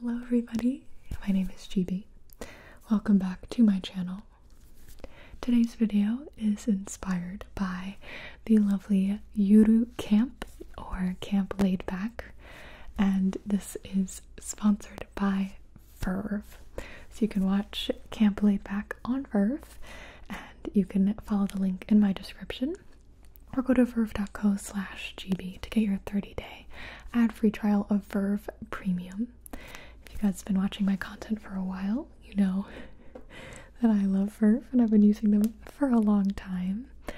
Hello everybody, my name is GB. Welcome back to my channel. Today's video is inspired by the lovely Yuru Camp or Camp Laid Back and this is sponsored by Verve. So you can watch Camp Laid Back on Verve and you can follow the link in my description or go to verve.co slash GB to get your 30 day ad-free trial of Verve Premium. If you guys have been watching my content for a while, you know that I love Verve and I've been using them for a long time. Uh,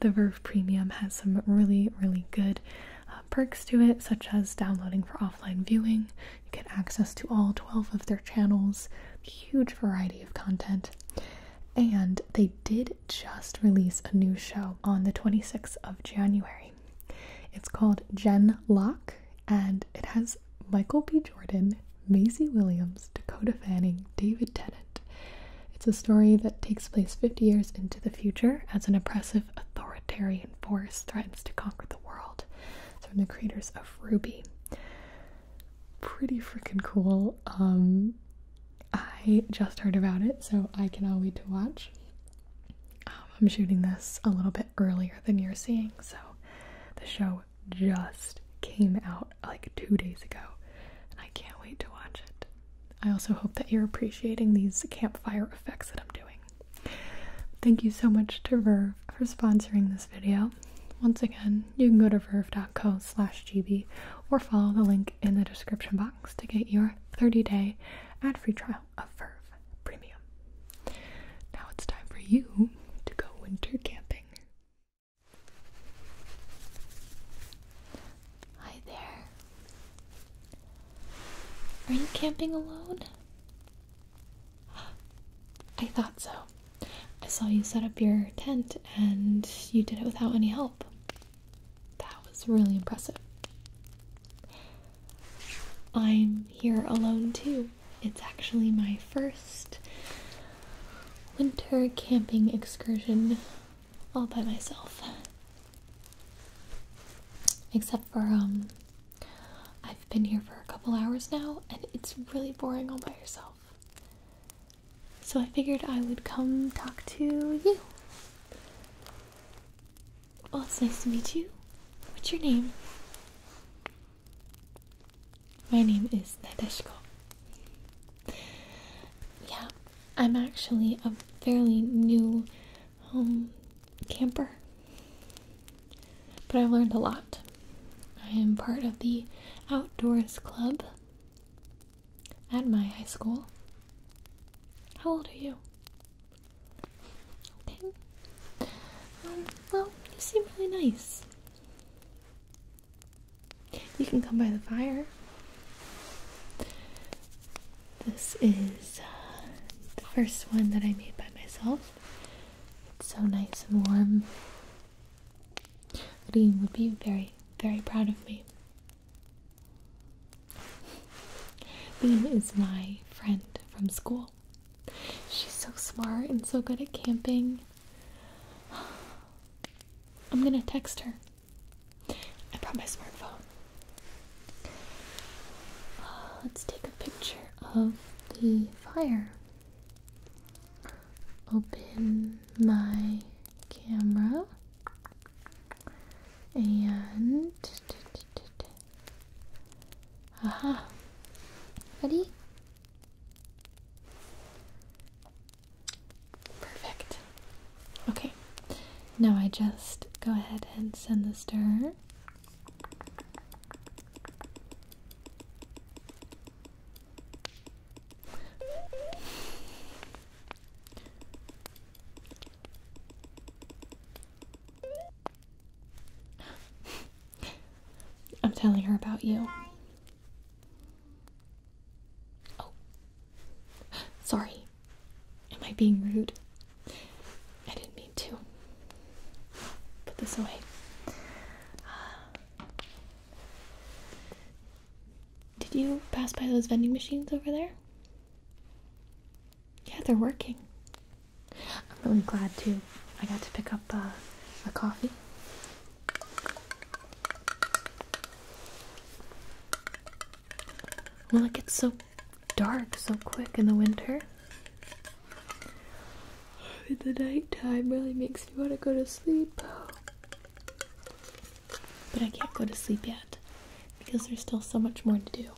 the Verve Premium has some really, really good uh, perks to it, such as downloading for offline viewing. You get access to all 12 of their channels, huge variety of content, and they did just release a new show on the 26th of January. It's called Jen Locke, and it has Michael B. Jordan, Maisie Williams, Dakota Fanning, David Tennant. It's a story that takes place 50 years into the future as an oppressive, authoritarian force threatens to conquer the world. It's from the creators of Ruby. Pretty freaking cool. Um, I just heard about it, so I cannot wait to watch. Um, I'm shooting this a little bit earlier than you're seeing, so the show just came out like two days ago, and I can't wait to watch it. I also hope that you're appreciating these campfire effects that I'm doing. Thank you so much to Verve for sponsoring this video. Once again, you can go to verve.co slash gb or follow the link in the description box to get your 30 day ad free trial of Verve Premium. Now it's time for you to go winter camping. Hi there. Are you camping alone? I thought so. I saw you set up your tent and you did it without any help. That was really impressive. I'm here alone too. It's actually my first winter camping excursion all by myself. Except for, um, I've been here for a couple hours now and it's really boring all by yourself. So I figured I would come talk to you. Well, it's nice to meet you. What's your name? My name is Nadeshko. Yeah, I'm actually a fairly new um, camper, but I've learned a lot. I am part of the Outdoors Club, at my high school. How old are you? Ten? Um, well, you seem really nice. You can come by the fire. This is uh, the first one that I made by myself. It's so nice and warm. Dean would be very, very proud of me. Bean is my friend from school. She's so smart and so good at camping. I'm gonna text her. I brought my smartphone. let's take a picture of the fire. Open my camera. And aha, ready? Perfect. Okay, now I just go ahead and send the stir. I'm telling her about you. Oh. Sorry. Am I being rude? I didn't mean to. Put this away. did you pass by those vending machines over there? Yeah, they're working. I'm really glad too. I got to pick up a uh, coffee. Well, it gets so dark so quick in the winter. the nighttime really makes me want to go to sleep. But I can't go to sleep yet because there's still so much more to do.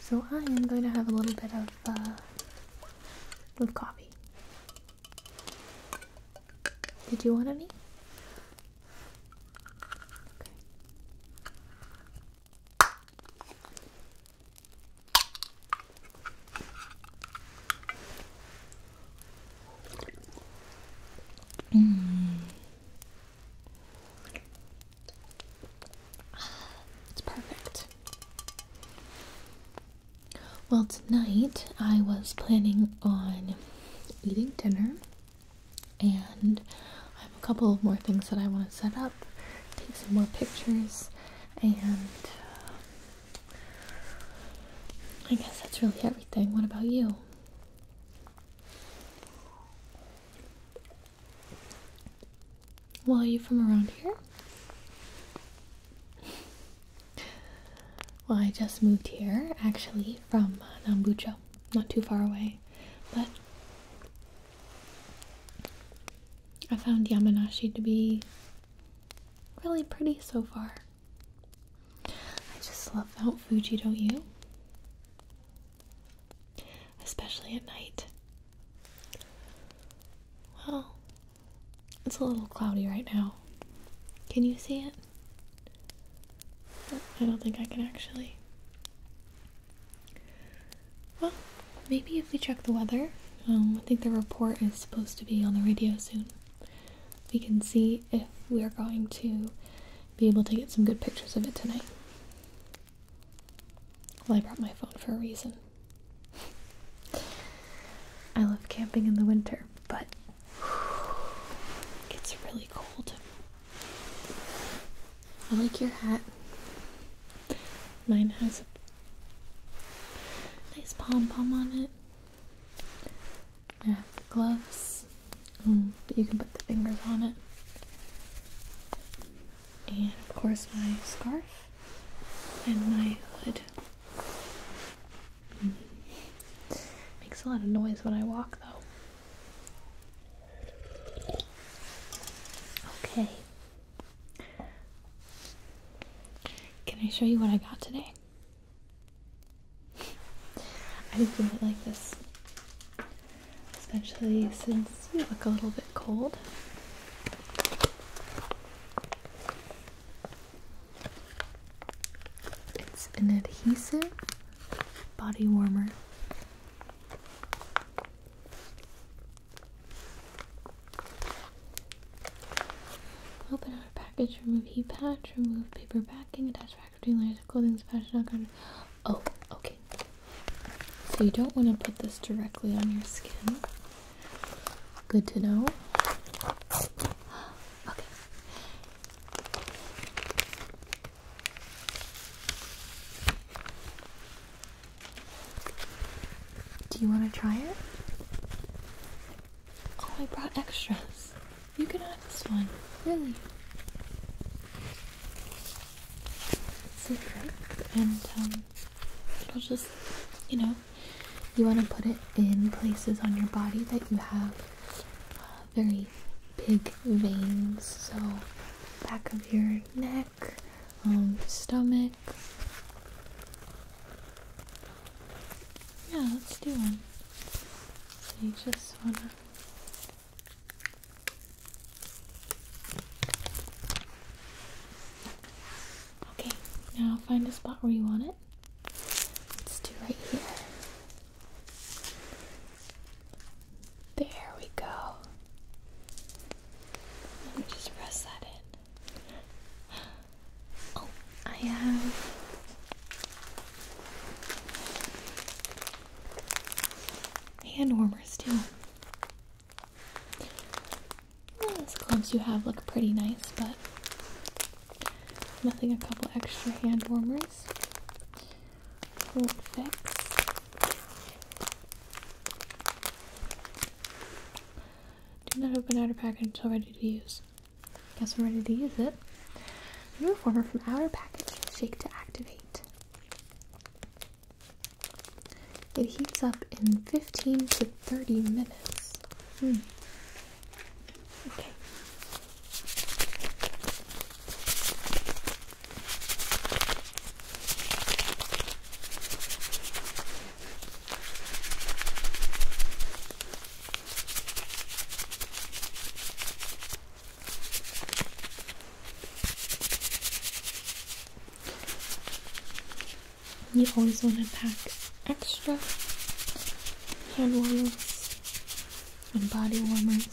So I am going to have a little bit of uh, coffee. Did you want any? Okay. Mm. It's perfect. Well, tonight I was planning on eating dinner, and I have a couple of more things that I want to set up, take some more pictures, and uh, I guess that's really everything. What about you? Well, are you from around here? Well, I just moved here actually from uh, Nambucho, not too far away, but I found Yamanashi to be really pretty so far. I just love Mount Fuji, don't you? especially at night. Well, it's a little cloudy right now. Can you see it? I don't think I can actually. Well, maybe if we check the weather, um, I think the report is supposed to be on the radio soon. We can see if we are going to be able to get some good pictures of it tonight. Well, I brought my phone for a reason. I love camping in the winter, but it's really cold. I like your hat. Mine has a nice pom pom on it. I have the gloves, mm, but you can put the fingers on it. And of course my scarf and my hood. Mm-hmm. Makes a lot of noise when I walk though. Okay. Can I show you what I got today? I do think I like this, especially since you look a little bit cold. It's an adhesive body warmer. Open our package, remove heat patch, remove paper backing, attach back dealers, clothing, fashion, all kind Oh, okay. So you don't want to put this directly on your skin. Good to know. Okay. Do you want to try it? Oh, I brought extras. You can have this one, really. Sit right and um, it'll just, you know, you want to put it in places on your body that you have uh, very big veins. So, back of your neck, um, stomach. Yeah, let's do one. So, you just want to Okay, now find a spot where you want it. Let's do right here. There we go. Let me just press that in. Oh, I have hand warmers too. those gloves you have look pretty nice, but nothing a couple extra hand warmers won't fix. Do not open outer package until ready to use. Guess I'm ready to use it. New warmer from outer package, shake to activate. It heats up in 15 to 30 minutes. Hmm. You always want to pack extra hand warmers and body warmers,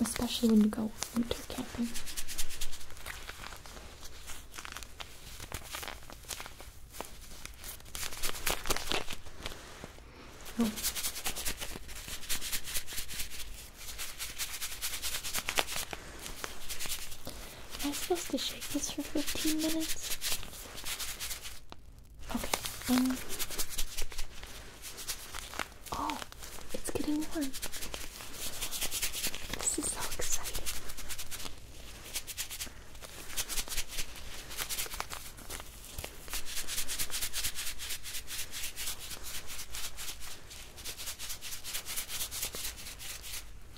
especially when you go winter camping. Oh. Am I supposed to shake this for 15 minutes? Okay, um, Oh, it's getting warm. This is so exciting.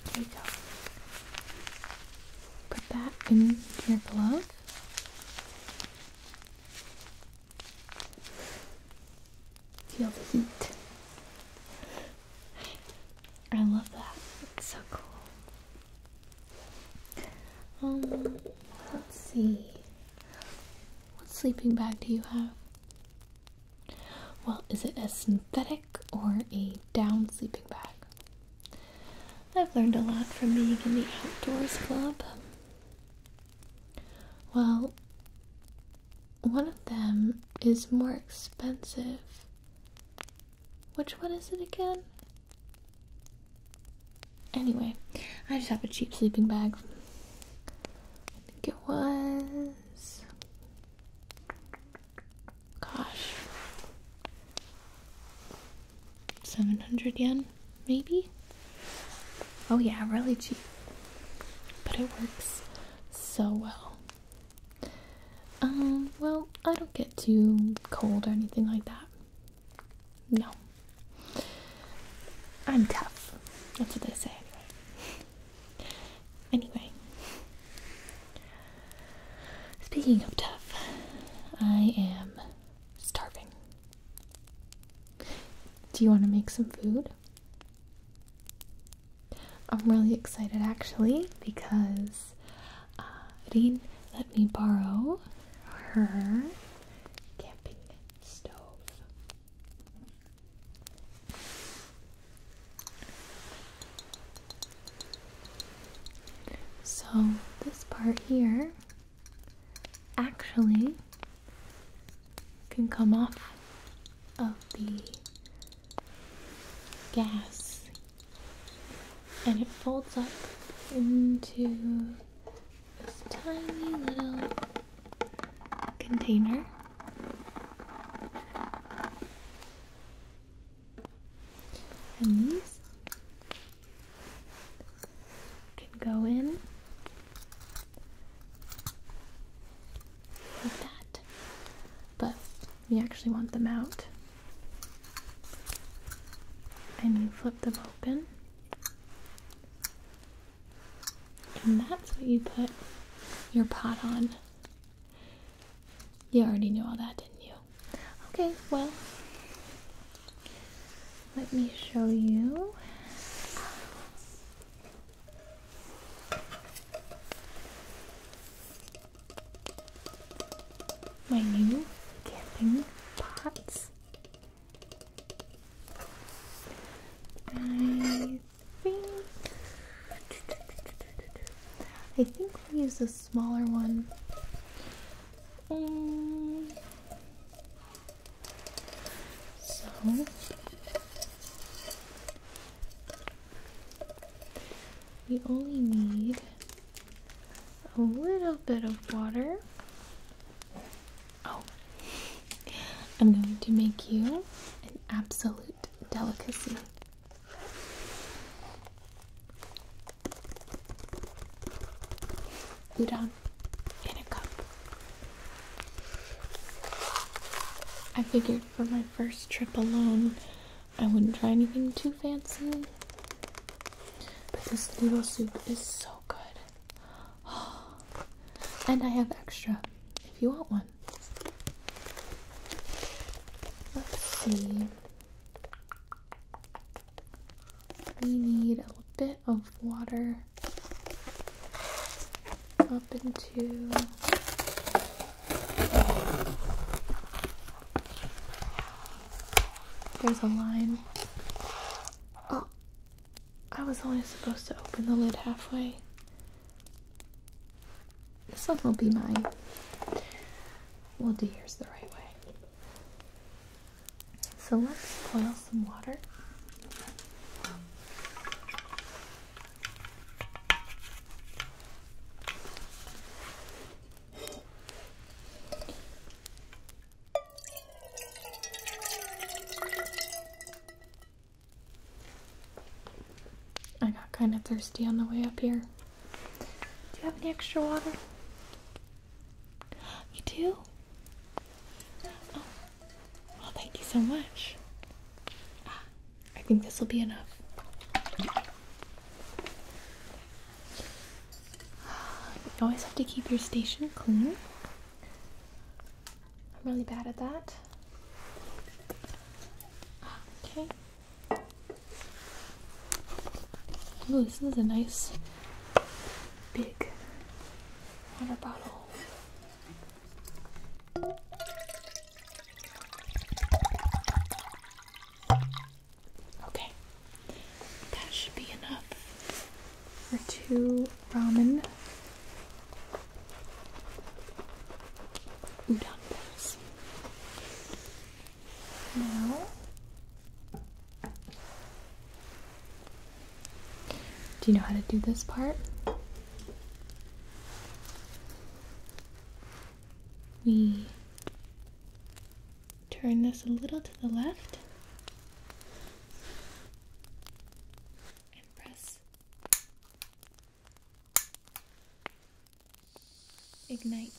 There we go. Put that in your glove. Feel the heat. I love that. It's so cool. Um, let's see. What sleeping bag do you have? Well, is it a synthetic or a down sleeping bag? I've learned a lot from being in the Outdoors Club. Well, one of them is more expensive. Which one is it again? Anyway, I just have a cheap sleeping bag. I think it was. Gosh. 700 yen, maybe? Oh, yeah, really cheap. But it works so well. Um, well, I don't get too cold or anything like that. No. I'm tough. That's what they say anyway. Anyway. Speaking of tough, I am starving. Do you want to make some food? I'm really excited actually because uh, Reen let me borrow her camping stove. So, this part here actually can come off of the gas and it folds up into this tiny little container. And these can go in like that. But we actually want them out. And you flip them open and that's what you put your pot on. You already knew all that, didn't you? Okay, well, let me show you. My new camping pots. I think I think we'll use a smaller one. Um, so we only need a little bit of water. Oh, I'm going to make you an absolute delicacy. Udon in a cup. I figured for my first trip alone, I wouldn't try anything too fancy. But this noodle soup is so good. and I have extra if you want one. Let's see. We need a bit of water up into there's a line. Oh, I was only supposed to open the lid halfway. This one will be mine. We'll do yours the right way. So let's boil some water. I got kind of thirsty on the way up here. Do you have any extra water? You do? Oh, thank you so much. Ah, I think this will be enough. You always have to keep your station clean. I'm really bad at that. Okay. Ooh, this is a nice big water bottle. Okay. That should be enough for two ramen udon Now do you know how to do this part? We turn this a little to the left and press ignite.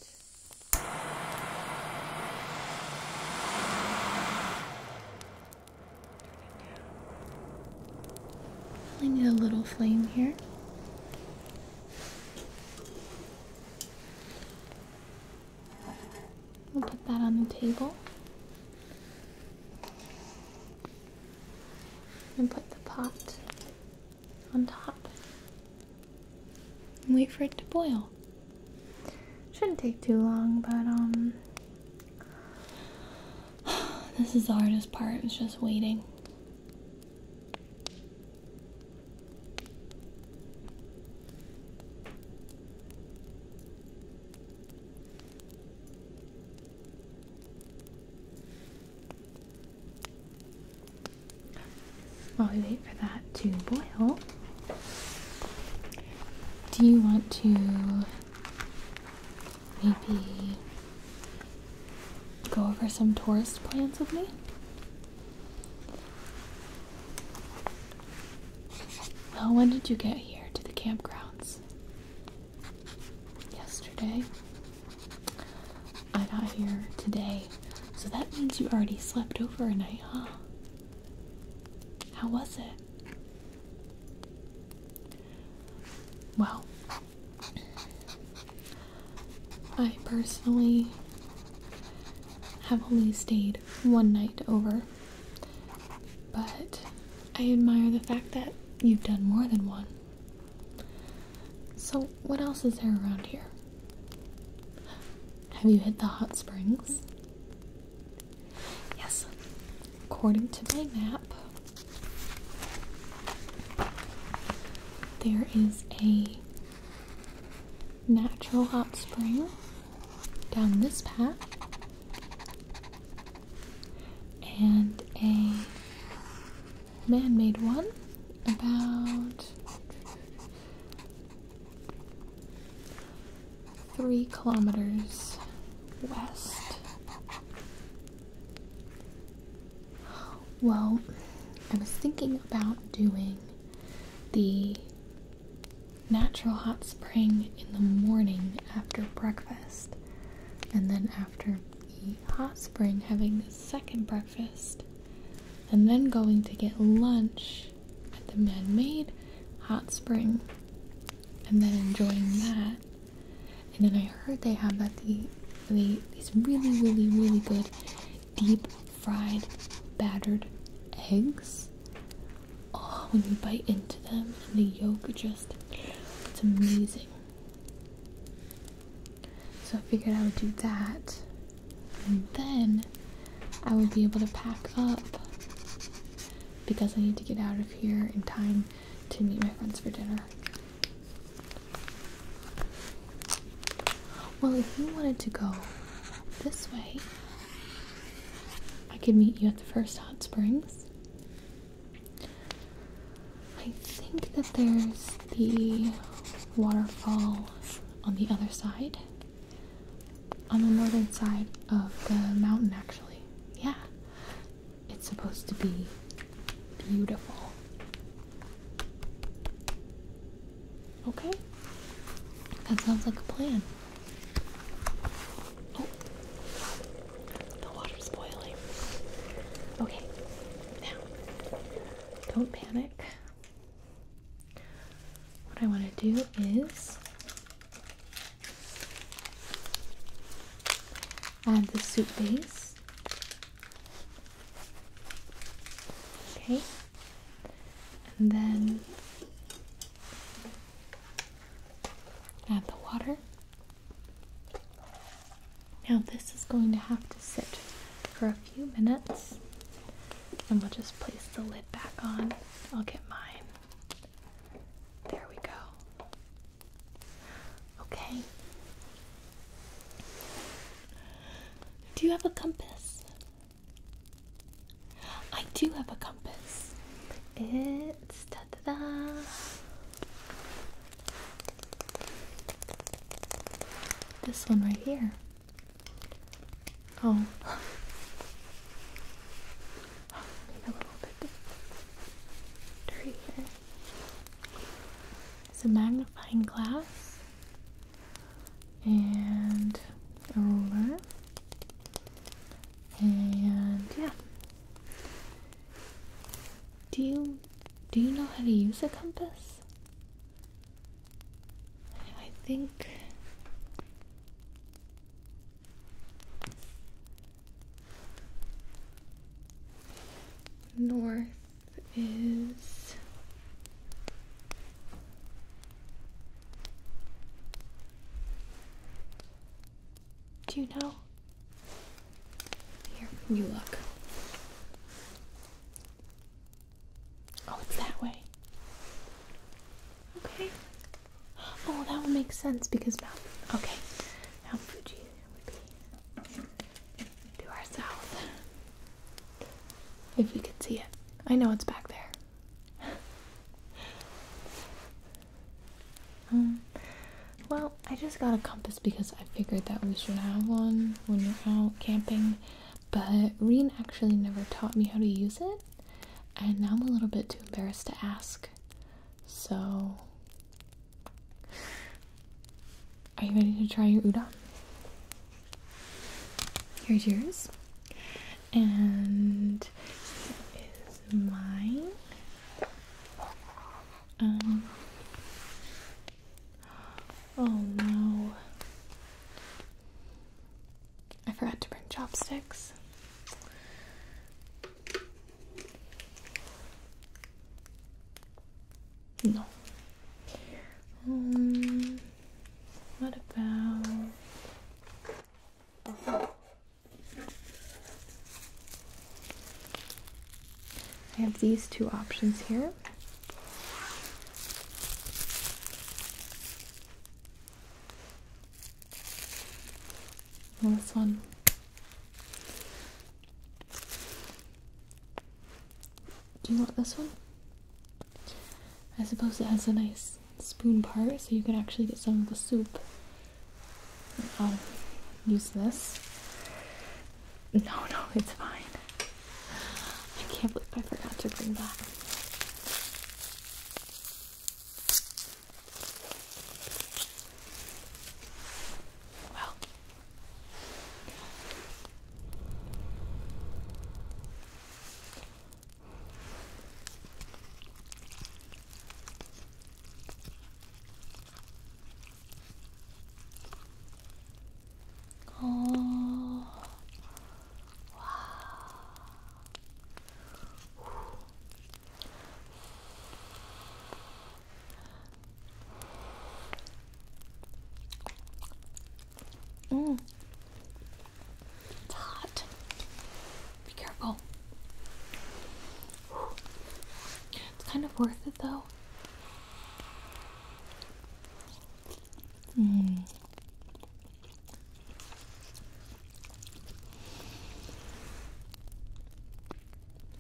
I need a little flame here. We'll put that on the table. And put the pot on top. And wait for it to boil. Shouldn't take too long, but um, this is the hardest part, it's just waiting. While we wait for that to boil, do you want to maybe go over some tourist plans with me? Well, when did you get here to the campgrounds? Yesterday? I got here today, so that means you already slept over a night, huh? How was it? Well, I personally have only stayed one night over. But I admire the fact that you've done more than one. So, what else is there around here? Have you hit the hot springs? Yes, according to my map, there is a natural hot spring down this path and a man-made one about three kilometers west. Well, I was thinking about doing the natural hot spring in the morning after breakfast. And then after the hot spring, having the second breakfast. And then going to get lunch at the man made hot spring. And then enjoying that. And then I heard they have that the, the these really, really, really good deep fried battered eggs Oh, when you bite into them and the yolk just, it's amazing. So I figured I would do that. And then I would be able to pack up because I need to get out of here in time to meet my friends for dinner. Well, if you wanted to go this way, I could meet you at the first hot springs. I think that there's the waterfall on the other side, on the northern side of the mountain, actually. Yeah, it's supposed to be beautiful. Okay, that sounds like a plan. Oh. the water's boiling. Okay, now don't panic. What I want to do is add the soup base. Okay, and then Add the water. Now this is going to have to sit for a few minutes and we'll just place the lid back on. I'll get mine. There we go. Okay. Do you have a compass? I do have a compass. It's da da da. This one right here. Oh, maybe a little bit dirty here. It's a magnifying glass and a ruler and yeah. Do you do you know how to use a compass? I think north is do you know? Here, you look. Oh, it's that way. Okay. Oh, that would make sense because Mount. Okay, Mount Fuji would be to our south. If you could see it, I know it's back there. Um, well, I just got a compass because I figured that we should have one when we're out camping, but Reen actually never taught me how to use it, and now I'm a little bit too embarrassed to ask. So, are you ready to try your udon? Here's yours and is mine. Um, oh no. I forgot to bring chopsticks. No. Um, what about? I have these two options here. Well, this one do you want this one? I suppose it has a nice spoon part so you can actually get some of the soup. I'll use this. No, no, it's fine. I can't believe I forgot to bring that. Well. Oh, wow. Mm. It's hot. Be careful. It's kind of worth it though.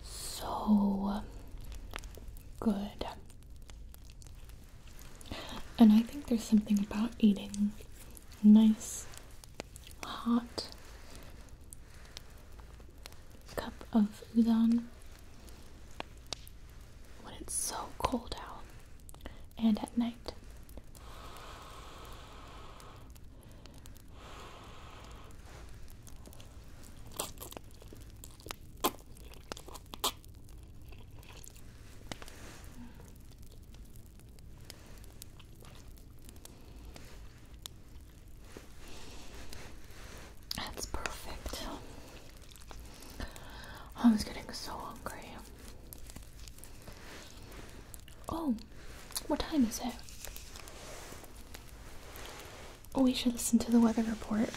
So good. And I think there's something about eating nice hot cup of udon when it's so cold out and at night. That's perfect. I was getting so hungry. Oh, what time is it? Oh, we should listen to the weather report.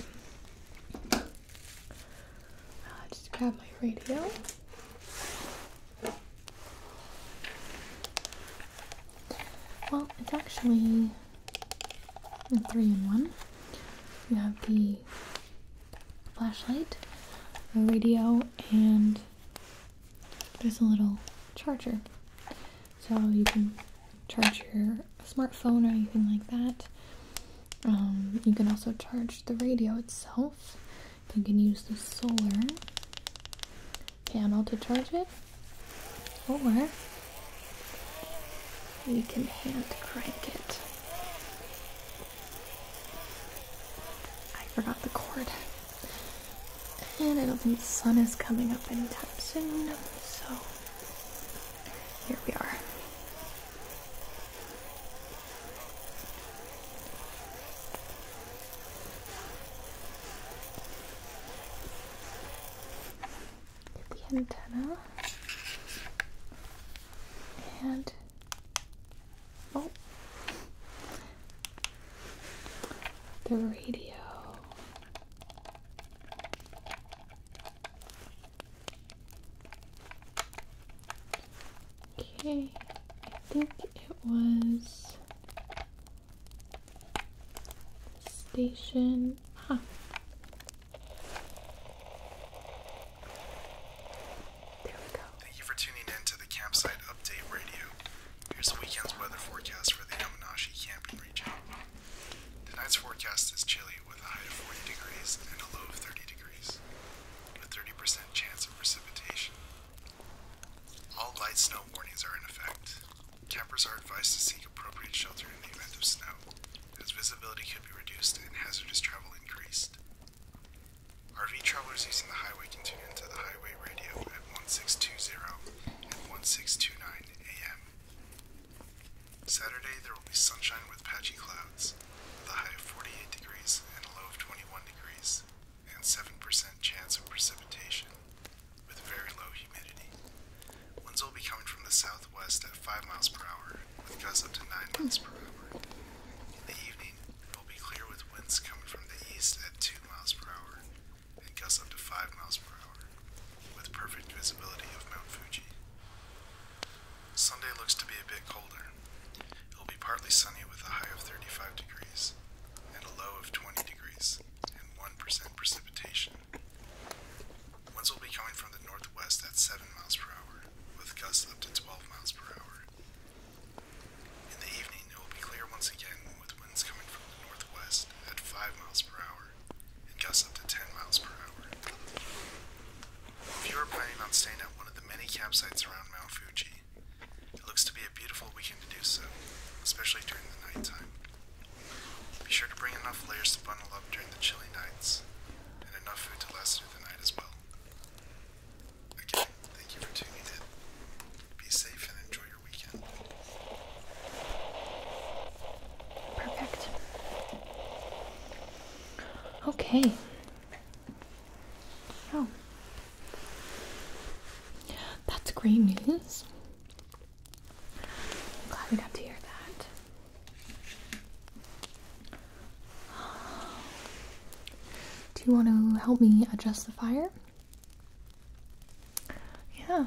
Uh, just grab my radio. Well, it's actually a three in one. You have the flashlight, the radio, and there's a little charger. So you can charge your smartphone or anything like that. Um, you can also charge the radio itself. You can use the solar panel to charge it, or we can hand crank it. I forgot the cord. And I don't think the sun is coming up anytime soon, so here we are the antenna and oh the radio. Okay, I think it was station. Huh. There we go. Thank you for tuning in to the Campsite Update Radio. Here's the weekend's weather forecast for the Amanashi camping region. Tonight's forecast is chilly with a high of 40 degrees and a low of 30 degrees, A 30% chance of precipitation. All light snow warnings are in effect. Campers are advised to seek appropriate shelter in the event of snow, as visibility could be reduced and hazardous travel increased. RV travelers using the highway can tune into the highway radio at 1620 and 1629 AM. Saturday there will be sunshine with patchy clouds, with a high of 48 degrees and a low of 21 degrees and 7% chance of precipitation, with very low humidity. Winds will be coming from the southwest at 5 miles per hour, with gusts up to 9 miles per hour. In the evening, it will be clear with winds coming from the east at 2 miles per hour, and gusts up to 5 miles per hour, with perfect visibility of Mount Fuji. Sunday looks to be a bit colder, it will be partly sunny with a high of 35 degrees and a low of 20 degrees and 1% precipitation. Winds will be coming from the northwest at 7 miles per hour with gusts up to 12 miles per hour. In the evening, it will be clear once again with winds coming from the northwest at 5 miles per hour and gusts up to 10 miles per hour. If you are planning on staying at one of the many campsites around Mount Fuji, it looks to be a beautiful weekend to do so, especially during the nighttime. Be sure to bring enough layers to bundle up during the chilly nights, and enough food to last through the night as well. Again, thank you for tuning in. Be safe and enjoy your weekend. Perfect. Okay. Oh, that's great news. I'm glad we got to hear that. Do you want to help me adjust the fire? Yeah.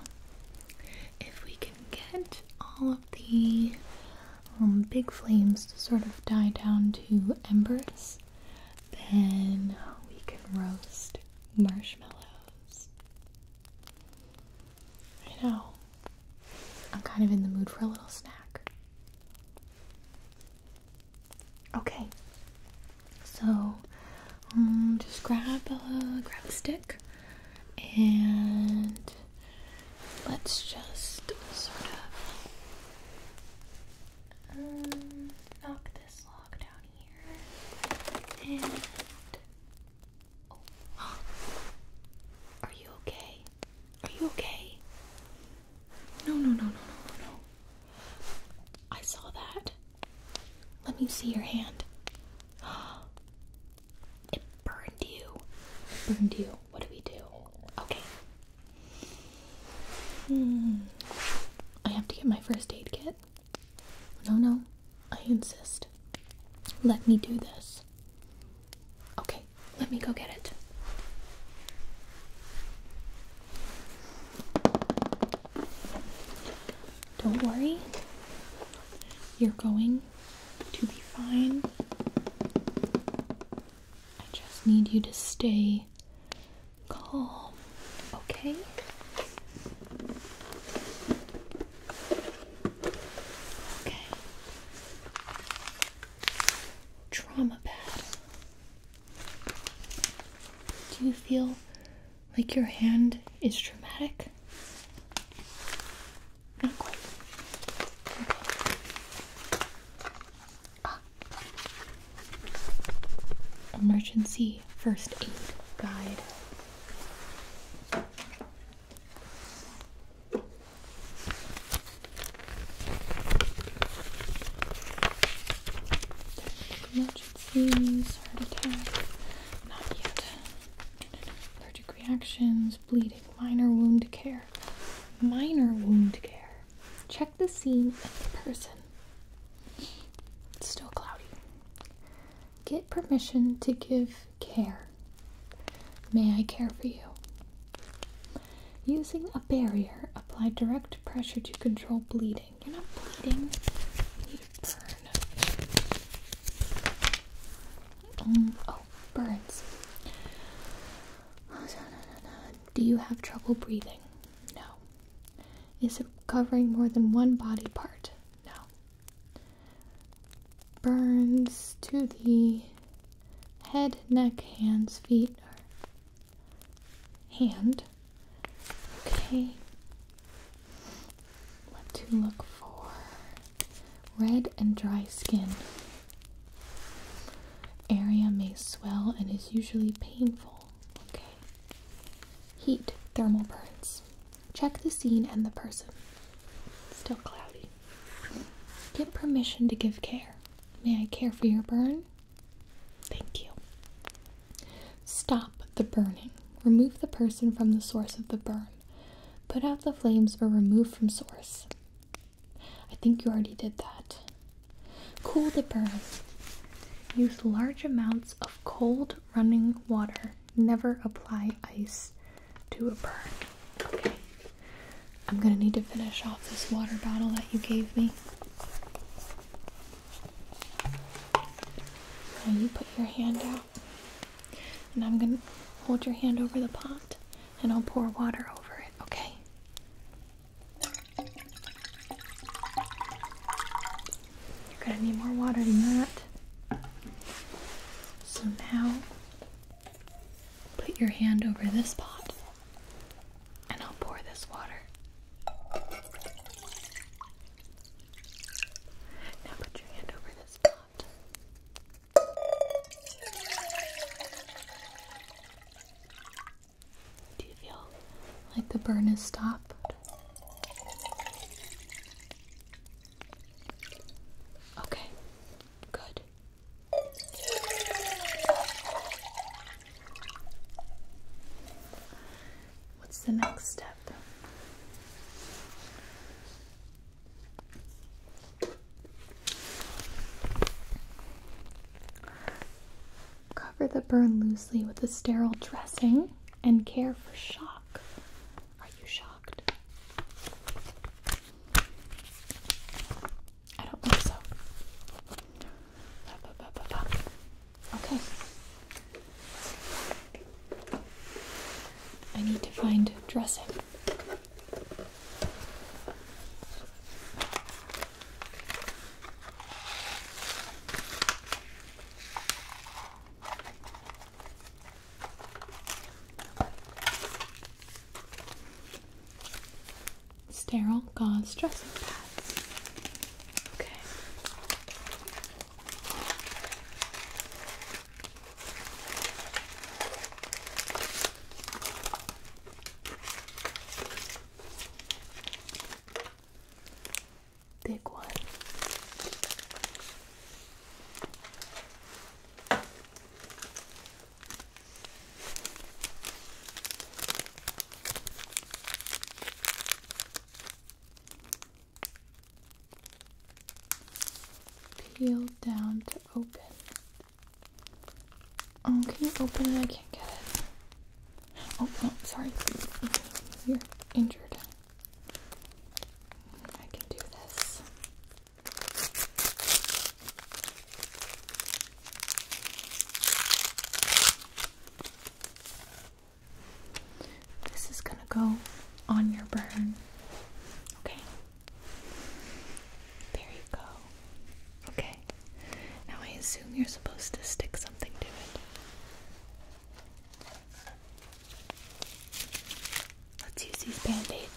If we can get all of the um, big flames to sort of die down to embers, then we can roast marshmallows. I know. I'm kind of in the mood for a little snack. Okay. So, um, just grab a grab a stick, and let's just sort of um, knock Oh. are you okay? Are you okay? No, no, no, no, no, no. I saw that. Let me see your hand. It burned you. burned you. What do we do? Okay, Hmm. I have to get my first aid kit. No, no, I insist. Let me do this. Okay, let me go get it. Don't worry, you're going to be fine. I just need you to stay calm, okay? Okay. Trauma pad. Do you feel like your hand is traumatic? Not quite. Emergency First Aid Guide. Emergencies, heart attack, not yet. Allergic reactions, bleeding, minor wound care. Minor wound care. Check the scene and the person. It's still cloudy. Get permission to give care. May I care for you? Using a barrier, apply direct pressure to control bleeding. You're not bleeding. You burn. Um, oh, burns. Do you have trouble breathing? No. Is it covering more than one body part? No. Burns to the head, neck, hands, feet, or hand. Okay. What to look for? Red and dry skin. Area may swell and is usually painful. Okay. Heat, thermal burns. Check the scene and the person. Still cloudy. Get permission to give care. May I care for your burn? Thank you. Stop the burning. Remove the person from the source of the burn. Put out the flames or remove from source. I think you already did that. Cool the burn. Use large amounts of cold running water. Never apply ice to a burn. Okay. I'm gonna need to finish off this water bottle that you gave me. Now you put your hand out, and I'm gonna hold your hand over the pot, and I'll pour water over it, okay? You're gonna need more water than that. So now, put your hand over this pot and I'll pour this water. Now put your hand over this pot. Do you feel like the burn has stopped? Okay, good. What's the next step? Cover the burn loosely with a sterile dressing and care for shock. Are you shocked? I don't think so. Okay. I need to find dressing. Sterile gauze dressing pads. Okay. Big one. Peel down to open. Oh, can you open it? I can't get it. Oh, no, sorry. You're injured. I can do this. This is going to go on your burn. Okay. There you go. Okay. Now I assume you're supposed to stick something to it. Let's use these band-aids.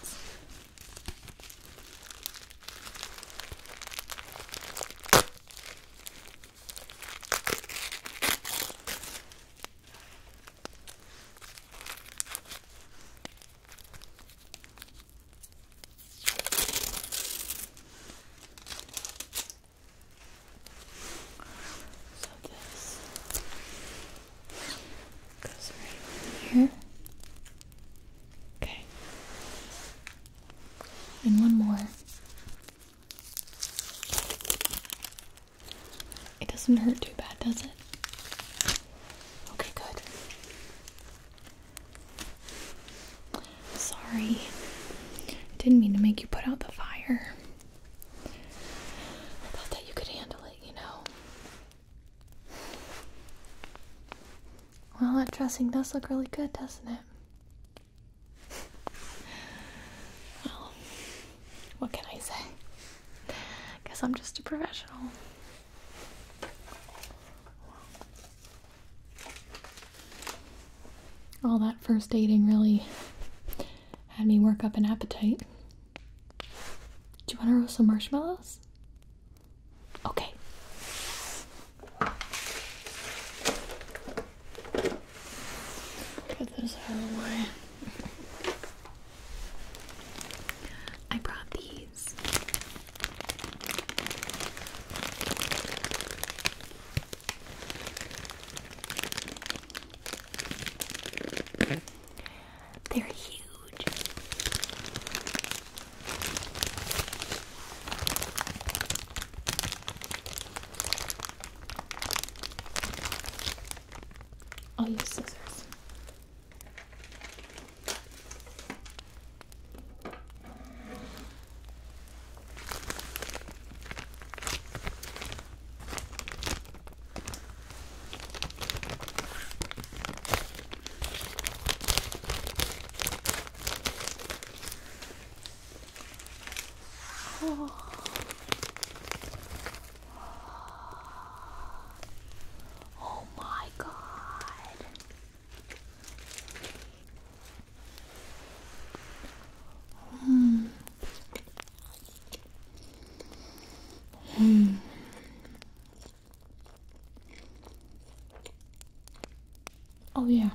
So this goes right here. Okay. And one more. It doesn't hurt too bad, does it? Okay, good. Sorry. Didn't mean to make you put out the fire. I thought that you could handle it, you know. Well, that dressing does look really good, doesn't it? Well, what can I say? Guess I'm just a professional. All that first dating really had me work up an appetite. Do you want to roast some marshmallows? Okay. Get this out I brought these. They're huge. I'll use scissors. Oh. oh my God. Hmm. Hmm. Oh, yeah.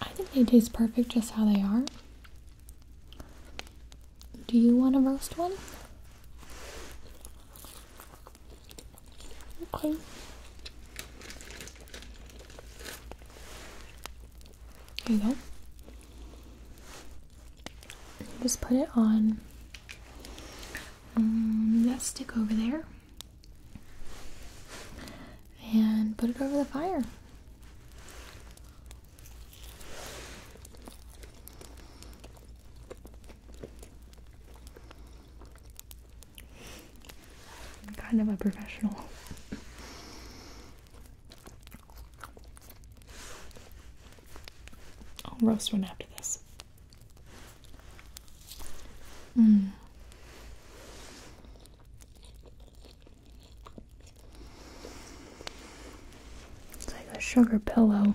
I think they taste perfect just how they are. Do you want to roast one? Okay. There you go. Just put it on um, that stick over there and put it over the fire kind of a professional. I'll roast one after this. Hmm. It's like a sugar pillow.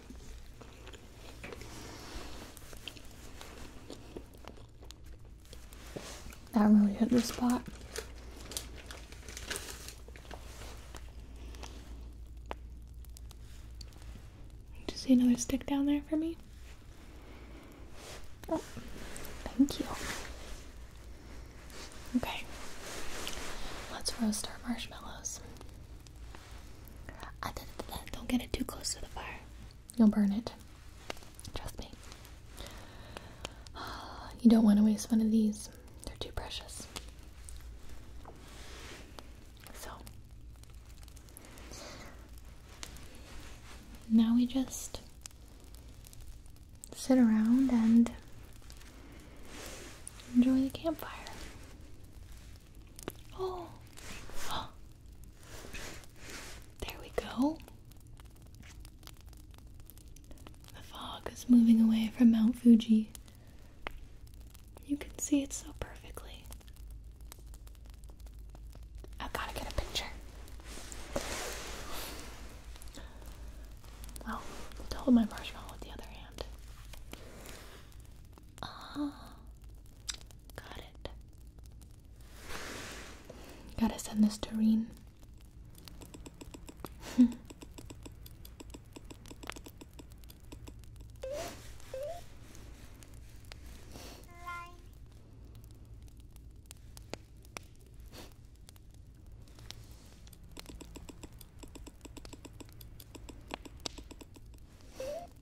That really hit the spot. Do you see another stick down there for me? Oh, thank you. Okay, let's roast our marshmallows. don't get it too close to the fire. You'll burn it. Trust me. You don't want to waste one of these, they're too precious. So, now we just sit around and enjoy the campfire. Oh, there we go. The fog is moving away from Mount Fuji. You can see it so perfectly. I've got to get a picture. Well, hold my marshmallow with the other hand. Ah, got it. Gotta send this to Reen.